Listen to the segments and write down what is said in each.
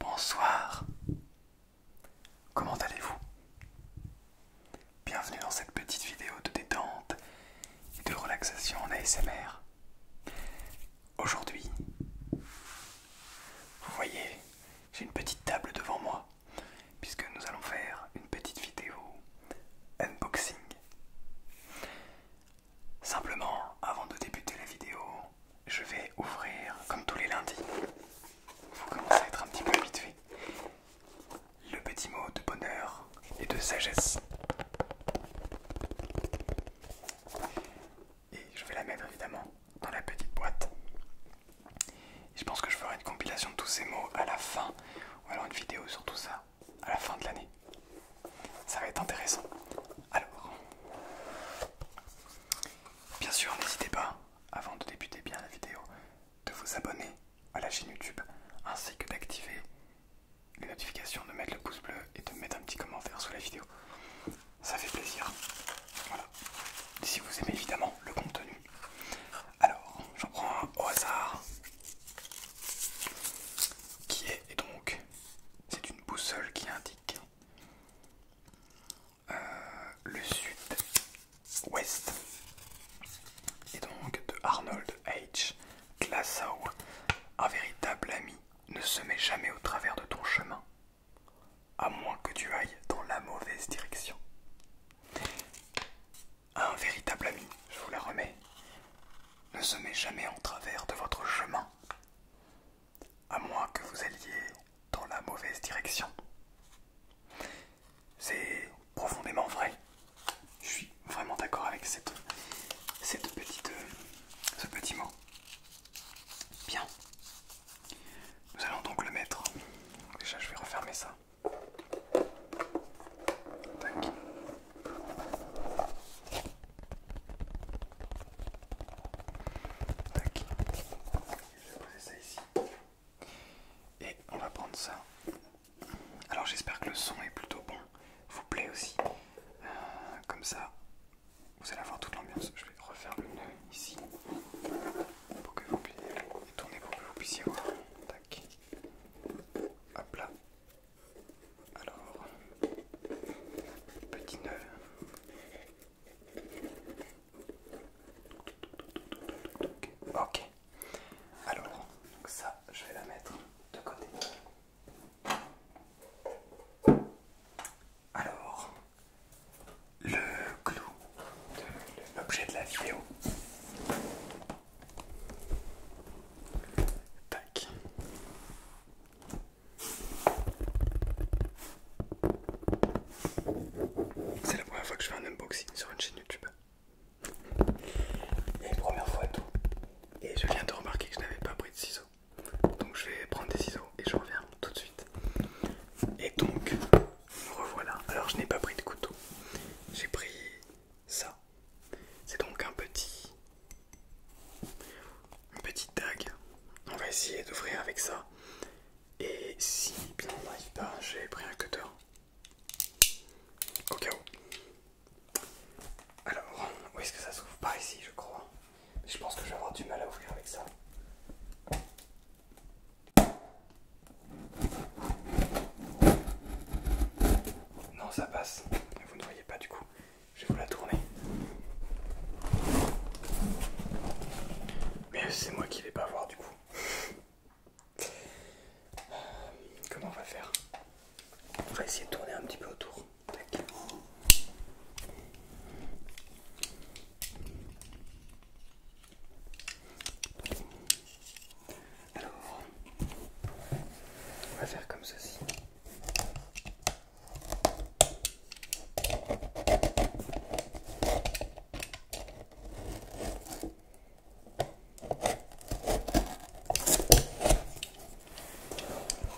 Bonsoir. Comment allez-vous Bienvenue dans cette petite vidéo de détente et de relaxation en ASMR. Aujourd'hui, vous voyez, j'ai une petite table devant moi puisque nous allons faire une petite vidéo unboxing. Simplement, avant de débuter la vidéo, je vais ouvrir, comme tous les lundis, vous commencez à être un petit peu habitué, le petit mot de bonheur et de sagesse. Et je vais la mettre évidemment dans la petite boîte. je pense que je ferai une compilation de tous ces mots à la fin, ou alors une vidéo sur tout ça à la fin de l'année. Ça va être intéressant. Alors, bien sûr, n'hésitez pas, avant de débuter bien la vidéo, de vous abonner à la chaîne YouTube, ainsi que d'activer les notifications, de mettre le pouce bleu et de mettre un petit commentaire sous la vidéo. Ça fait plaisir. Voilà. Si vous aimez évidemment le contenu. Alors, j'en prends un au hasard. Qui est donc c'est une boussole qui indique euh, le sud-ouest. Et donc de Arnold H. Glassau, un véritable ami ne se met jamais au travers de ton chemin, à moins que tu ailles dans la mauvaise direction. Un véritable ami, je vous la remets, ne se met jamais en travers de votre chemin, à moins que vous alliez dans la mauvaise direction. C'est profondément vrai. Je suis vraiment d'accord avec cette, petite, euh, ce petit mot. Bien. Nous allons donc le mettre. Déjà, je vais refermer ça. Je vais poser ça ici. Et on va prendre ça. Alors j'espère que le son est plutôt bon, vous plaît aussi. Euh, comme ça, vous allez avoir toute l'ambiance. Je vais refaire le nœud ici pour que vous puissiez tourner pour que vous puissiez voir. Tac. Hop là. Alors, petit nœud. Ok. Alors, ça, je vais la mettre de côté. Alors, le clou de l'objet de la vidéo. Tac. C'est la première fois que je fais un unboxing sur une chaîne YouTube. Et première fois tout. Et je viens de remarquer que je n'avais pas pris de ciseaux. Donc je vais prendre des ciseaux et je reviens tout de suite. Et donc, revoilà. Alors je n'ai pas pris de couteau. J'ai pris ça. C'est donc un petit, Un petite dague. On va essayer d'ouvrir avec ça. Et si bien on n'arrive pas, j'ai pris un cutter. Au cas où. Alors, où est-ce que ça s'ouvre Par ici, je crois. Je pense que je du mal à ouvrir avec ça. Non, ça passe. Vous ne voyez pas du coup. Je vais vous la tourner. Mais c'est moi qui vais pas voir du coup. comment on va faire On va essayer de tourner un petit peu autour. Alors, on va faire comme ceci.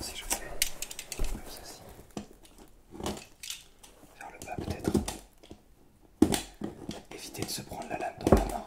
Si je fais comme ceci, vers le bas peut-être, éviter de se prendre la lame dans la main.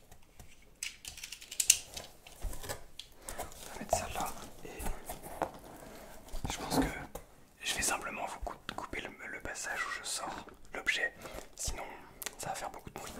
On va mettre ça là et je pense que je vais simplement vous couper le, passage où je sors l'objet, sinon ça va faire beaucoup de bruit.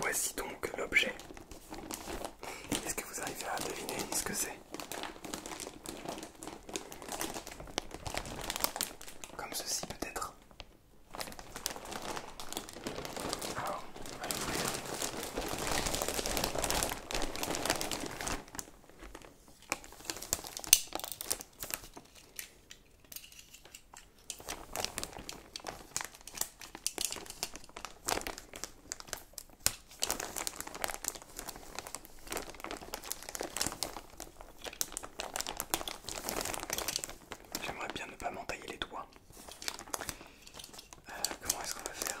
Voici donc l'objet. Est-ce que vous arrivez à deviner ce que c'est Comme ceci peut-être. J'aimerais bien ne pas m'entailler les doigts. Euh, comment est-ce qu'on va faire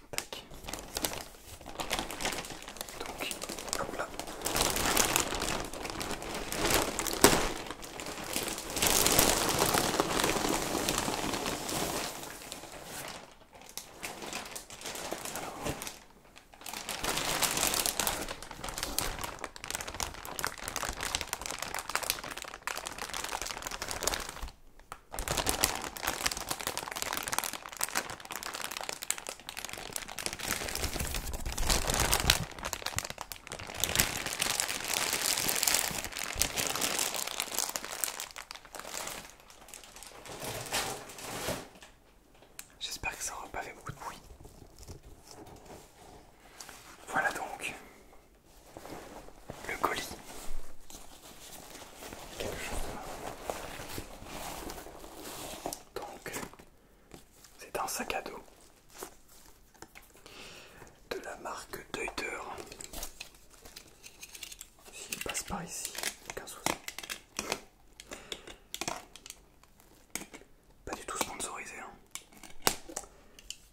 Tac. Donc, là. J'espère que ça n'aura pas fait beaucoup de bruit. Voilà donc le colis donc c'est un sac à dos de la marque Deuter s'il passe par ici aucun souci pas du tout sponsorisé hein.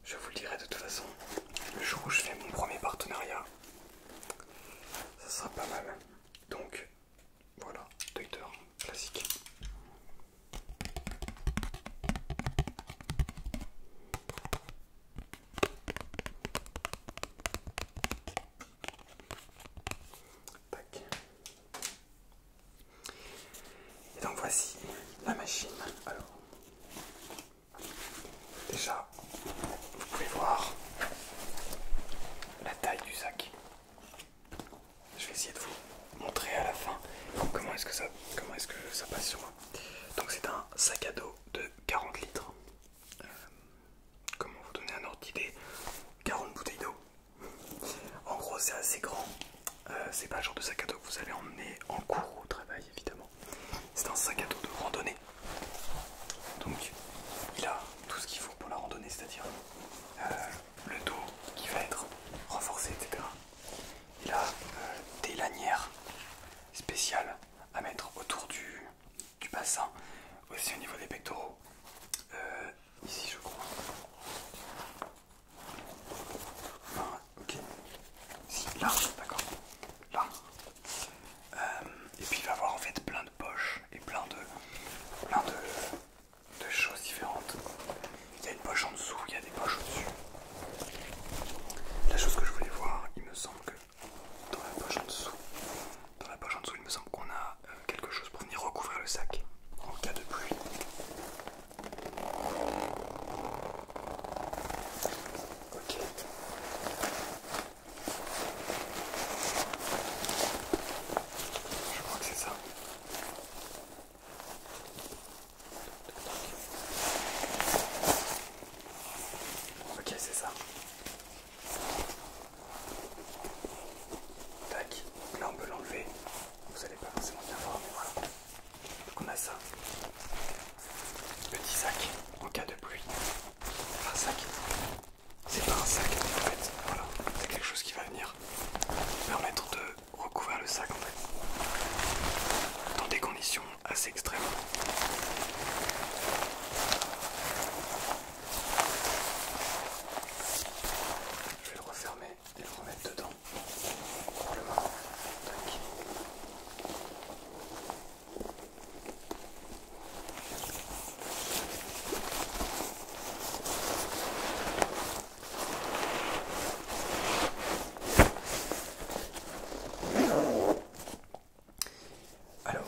je vous le dirai de toute façon le jour où je fais mon premier partenariat ça sera pas mal donc voilà, Docteur classique. Et donc voici la machine. Alors déjà vous pouvez voir la taille du sac. Je vais essayer de vous montrer à la fin comment est-ce que ça, comment que ça passe sur moi. Donc c'est un sac à dos de 40 litres. Euh, comment vous donner un ordre d'idée 40 bouteilles d'eau. En gros c'est assez grand. Euh, c'est pas le genre de sac à dos que vous allez emmener en cours au travail évidemment. C'est un sac à dos de randonnée. Donc il a tout ce qu'il faut pour la randonnée, c'est-à-dire euh, le dos qui va être renforcé, etc. Il a euh, des lanières spéciales à mettre autour du, bassin, aussi au niveau des pectoraux. Euh, ici je crois. là, d'accord. Là. Euh, et puis il va avoir en fait plein de poches et plein de, plein de, choses différentes. Il y a une poche en dessous, il y a des poches au-dessus. La chose que je voulais voir, il me semble que dans la poche en dessous, dans la poche en dessous, il me semble qu'on a euh, quelque chose pour venir recouvrir le sac en cas de pluie. Ok. Je crois que c'est ça. Ok, c'est ça. Tac, là on peut l'enlever. Vous allez pas forcément bien voir, mais voilà. Donc on a ça. Petit sac en cas de pluie. Un sac c'est pas un sac en fait, voilà, c'est quelque chose qui va venir permettre de recouvrir le sac en fait, dans des conditions assez extrêmes. Je vais le refermer et le remettre dedans alors,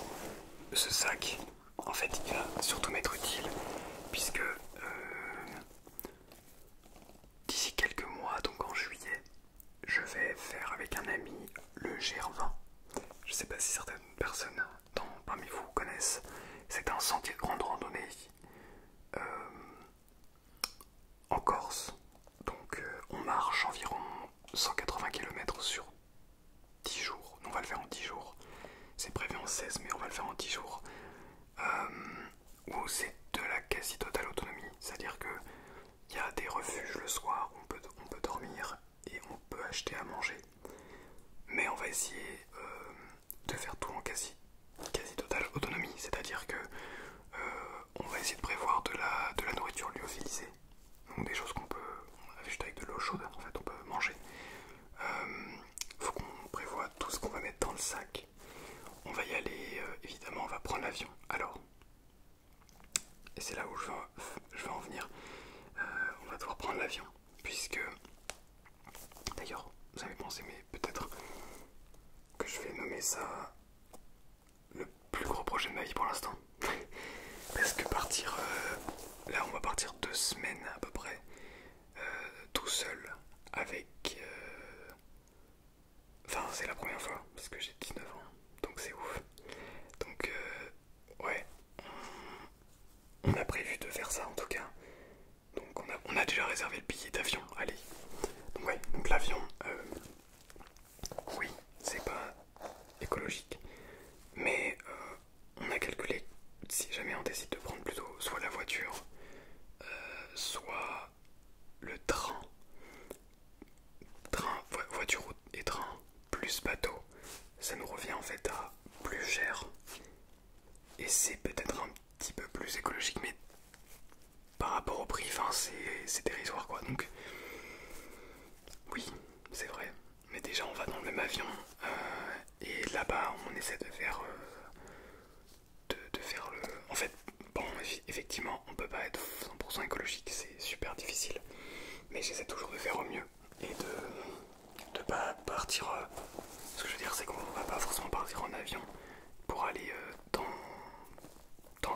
ce sac, en fait, il va surtout m'être utile, puisque euh, d'ici quelques mois, donc en juillet, je vais faire avec un ami le GR20. Je ne sais pas si certaines personnes parmi vous connaissent. C'est un sentier de grande randonnée euh, en Corse. Donc euh, on marche environ 180 km sur 10 jours. On va le faire en 10 jours. C'est prévu en 16 mais on va le faire en 10 jours. Euh, où c'est de la quasi totale autonomie. C'est-à-dire que il y a des refuges le soir, où on peut dormir, et on peut acheter à manger. Mais on va essayer euh, de faire tout en quasi, quasi totale autonomie, c'est-à-dire que euh, on va essayer de prévoir de la, de la nourriture lyophilisée, donc des choses qu'on peut, juste avec de l'eau chaude, en fait, on peut manger. Il euh, faut qu'on prévoit tout ce qu'on va mettre dans le sac. On va y aller, évidemment, on va prendre l'avion. Alors, et c'est là où je vais en venir. Euh, on va devoir prendre l'avion, puisque... D'ailleurs, vous avez pensé, mais peut-être que je vais nommer ça le plus gros projet de ma vie pour l'instant. Parce que partir... Euh, là, on va partir deux semaines à peu près, euh, tout seul, avec... enfin, c'est la première fois, parce que j'ai 19 ans, donc c'est ouf. Donc, ouais, on, a prévu de faire ça en tout cas. Donc on a, déjà réservé le billet d'avion, allez. Donc ouais, donc l'avion, euh, oui, c'est pas écologique. Mais euh, on a calculé, si jamais on décide de prendre plutôt soit la voiture, euh, soit le train. Train, voiture et train, plus bateau, ça nous revient en fait à plus cher. Et c'est peut-être un petit peu plus écologique, mais par rapport au prix, c'est dérisoire quoi. Donc, oui, c'est vrai. Mais déjà, on va dans le même avion. Euh, et là-bas, on essaie de faire. Euh, de faire le. En fait, bon, effectivement, on peut pas être 100% écologique, c'est super difficile mais j'essaie toujours de faire au mieux et de ne pas partir. Euh, ce que je veux dire, c'est qu'on va pas forcément partir en avion pour aller euh, dans,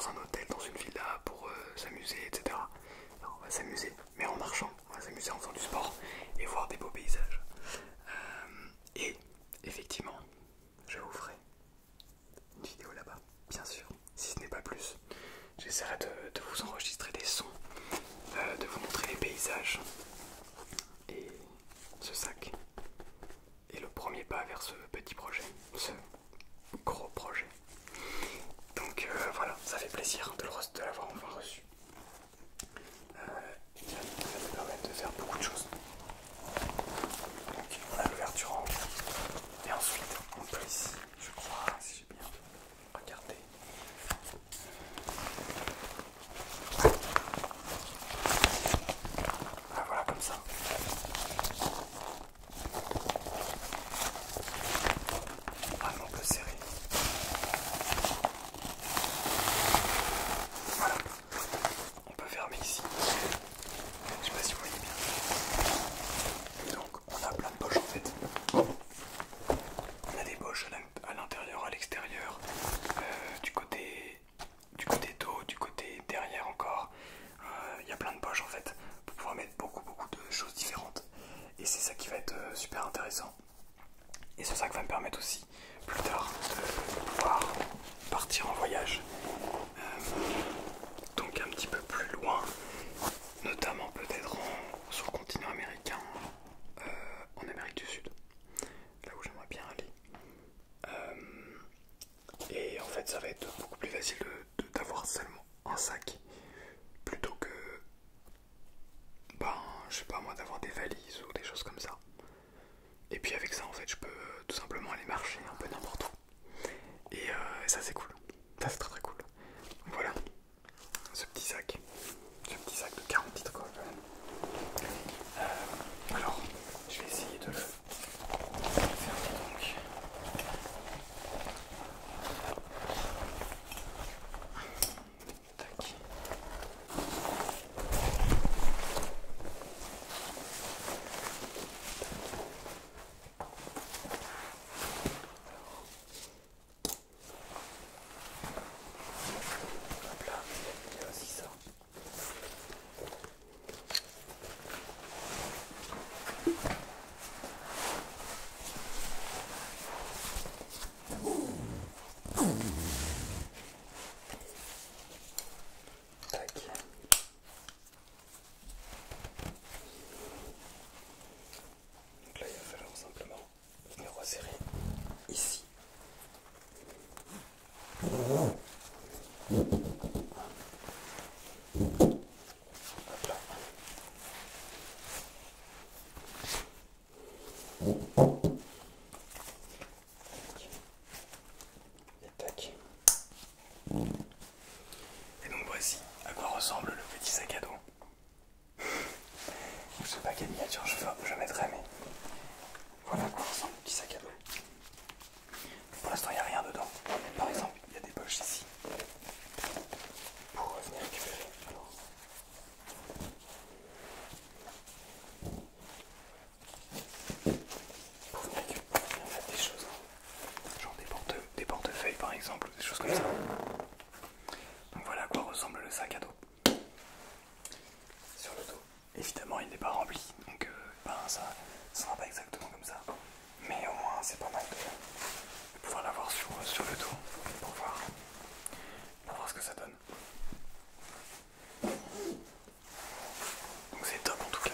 un hôtel, dans une villa, pour euh, s'amuser, etc. on va s'amuser, mais en marchant, on va s'amuser en faisant du sport et voir des beaux paysages. et effectivement, je vous ferai une vidéo là-bas, bien sûr si ce n'est pas plus. J'essaierai de, vous enregistrer des sons, euh, de vous montrer les paysages et ce sac est le premier pas vers ce petit projet, ce gros projet. Donc euh, voilà, ça fait plaisir de l'avoir enfin reçu. ça euh, permet de faire beaucoup de choses. on a l'ouverture en haut et ensuite on peut je crois, si j'ai bien Regardez. Ah, voilà comme ça. on peut peu serré. Voilà. On peut fermer ici. Je sais pas si vous voyez bien on a plein de poches en fait. On a des poches à l'intérieur, à l'extérieur, euh, du côté du côté dos, du côté derrière encore. Euh, il y a plein de poches en fait pour pouvoir mettre beaucoup beaucoup de choses différentes. Et c'est ça qui va être euh, super intéressant. Et c'est ça qui va me permettre aussi plus tard de pouvoir partir en voyage. donc un petit peu plus loin notamment peut-être sur le continent américain, euh, en Amérique du Sud, là où j'aimerais bien aller. Euh, et en fait, ça va être beaucoup plus facile d'avoir de, seulement un sac plutôt que, ben, je sais pas moi, d'avoir des valises ou des choses comme ça. Et puis avec ça, en fait, je peux tout simplement aller marcher un peu n'importe où. Euh, et, ça c'est cool, ça c'est très très cool. voilà, ce petit sac, ce petit sac de 40 litres quoi. Euh, alors, je vais essayer de le fermer donc. Tac. Hop là, il y a aussi ça. Tac. Donc là, il va falloir simplement venir resserrer ici. Et donc voici à quoi ressemble le petit sac à dos. je sais pas quelle miniature je, je mettrai, mais voilà à quoi ressemble le petit sac à dos. Pour l'instant, il n'y a rien dedans. par exemple, il y a des poches ici pour pour venir récupérer, des choses. Hein genre des, des portefeuilles par exemple, des choses comme ça. Donc voilà à quoi ressemble le sac à dos. Sur le dos. Évidemment il n'est pas rempli, donc euh, ben, ça ne sera pas exactement comme ça. Mais au moins c'est pas mal de, pouvoir l'avoir sur, le dos voir, pour voir ce que ça donne. Donc c'est top en tout cas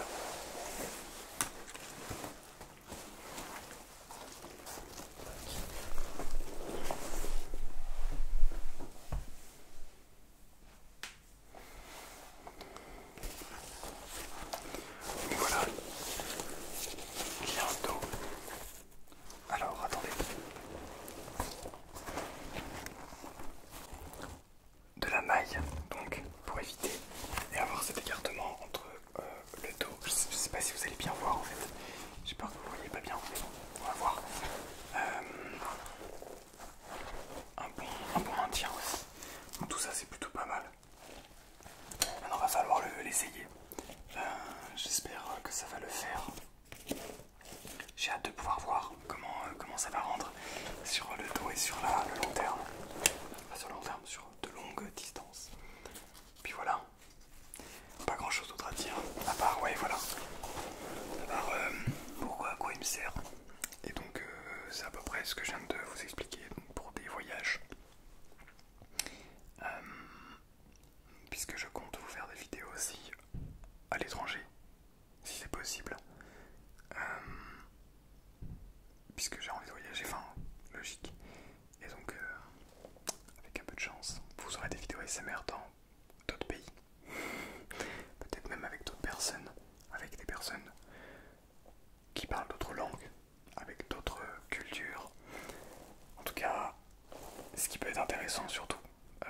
voilà, bientôt. Alors attendez. De la maille, donc pour éviter et avoir cet écartement entre euh, le dos. Je sais, pas si vous allez bien voir en fait. J'ai peur que vous voyez pas bien, mais bon, on va voir. Euh, un, bon, un aussi. tout ça c'est plutôt pas mal. Maintenant va falloir l'essayer. Euh, j'espère que ça va le faire. J'ai hâte de pouvoir voir comment, comment ça va rendre sur le dos et sur la, le long terme. sur le long terme, sur de longues distances. Puis voilà, pas grand chose d'autre à dire, à part, ouais, voilà, à part euh, pourquoi, à quoi il me sert. Et donc, euh, c'est à peu près ce que je viens de vous expliquer pour des voyages. Euh, puisque je compte vous faire des vidéos aussi à l'étranger, si c'est possible puisque j'ai envie de voyager, enfin, logique. Et donc, euh, avec un peu de chance, vous aurez des vidéos SMR dans d'autres pays, peut-être même avec d'autres personnes, avec des personnes qui parlent d'autres langues, avec d'autres cultures. En tout cas, ce qui peut être intéressant surtout euh,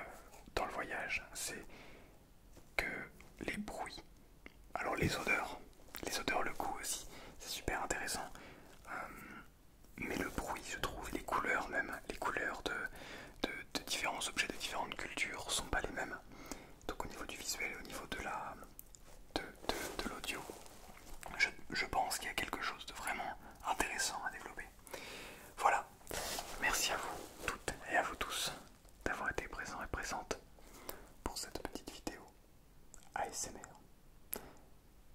dans le voyage, c'est que les bruits alors les odeurs, les odeurs, le goût aussi, c'est super intéressant. Euh, mais le bruit, je trouve, les couleurs même, les couleurs de, différents objets de différentes cultures sont pas les mêmes. Donc au niveau du visuel, au niveau de l'audio, je pense qu'il y a quelque chose de vraiment intéressant à développer. Voilà, merci à vous toutes et à vous tous d'avoir été présents et présentes pour cette petite vidéo. ASMR.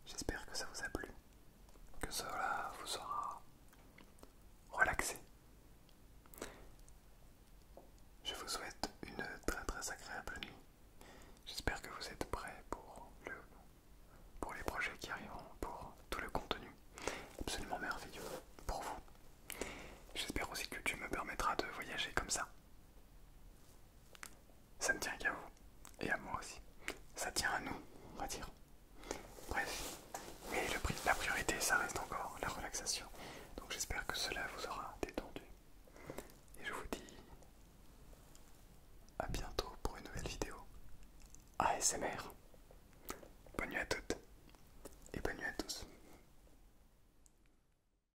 J'espère que ça vous a plu, que cela vous sera relaxé. Je vous souhaite une très très agréable nuit. J'espère que vous êtes prêts pour, le, pour les projets qui arriveront, pour tout le contenu absolument merveilleux pour vous. J'espère aussi que tu me permettras de voyager comme ça ça ne tient qu'à vous et à moi aussi. Ça tient à nous, on va dire. Bref, mais le prix, la priorité, ça reste encore la relaxation. Donc j'espère que cela vous aura détendu. Et je vous dis à bientôt pour une nouvelle vidéo ASMR. Bonne nuit à toutes et bonne nuit à tous.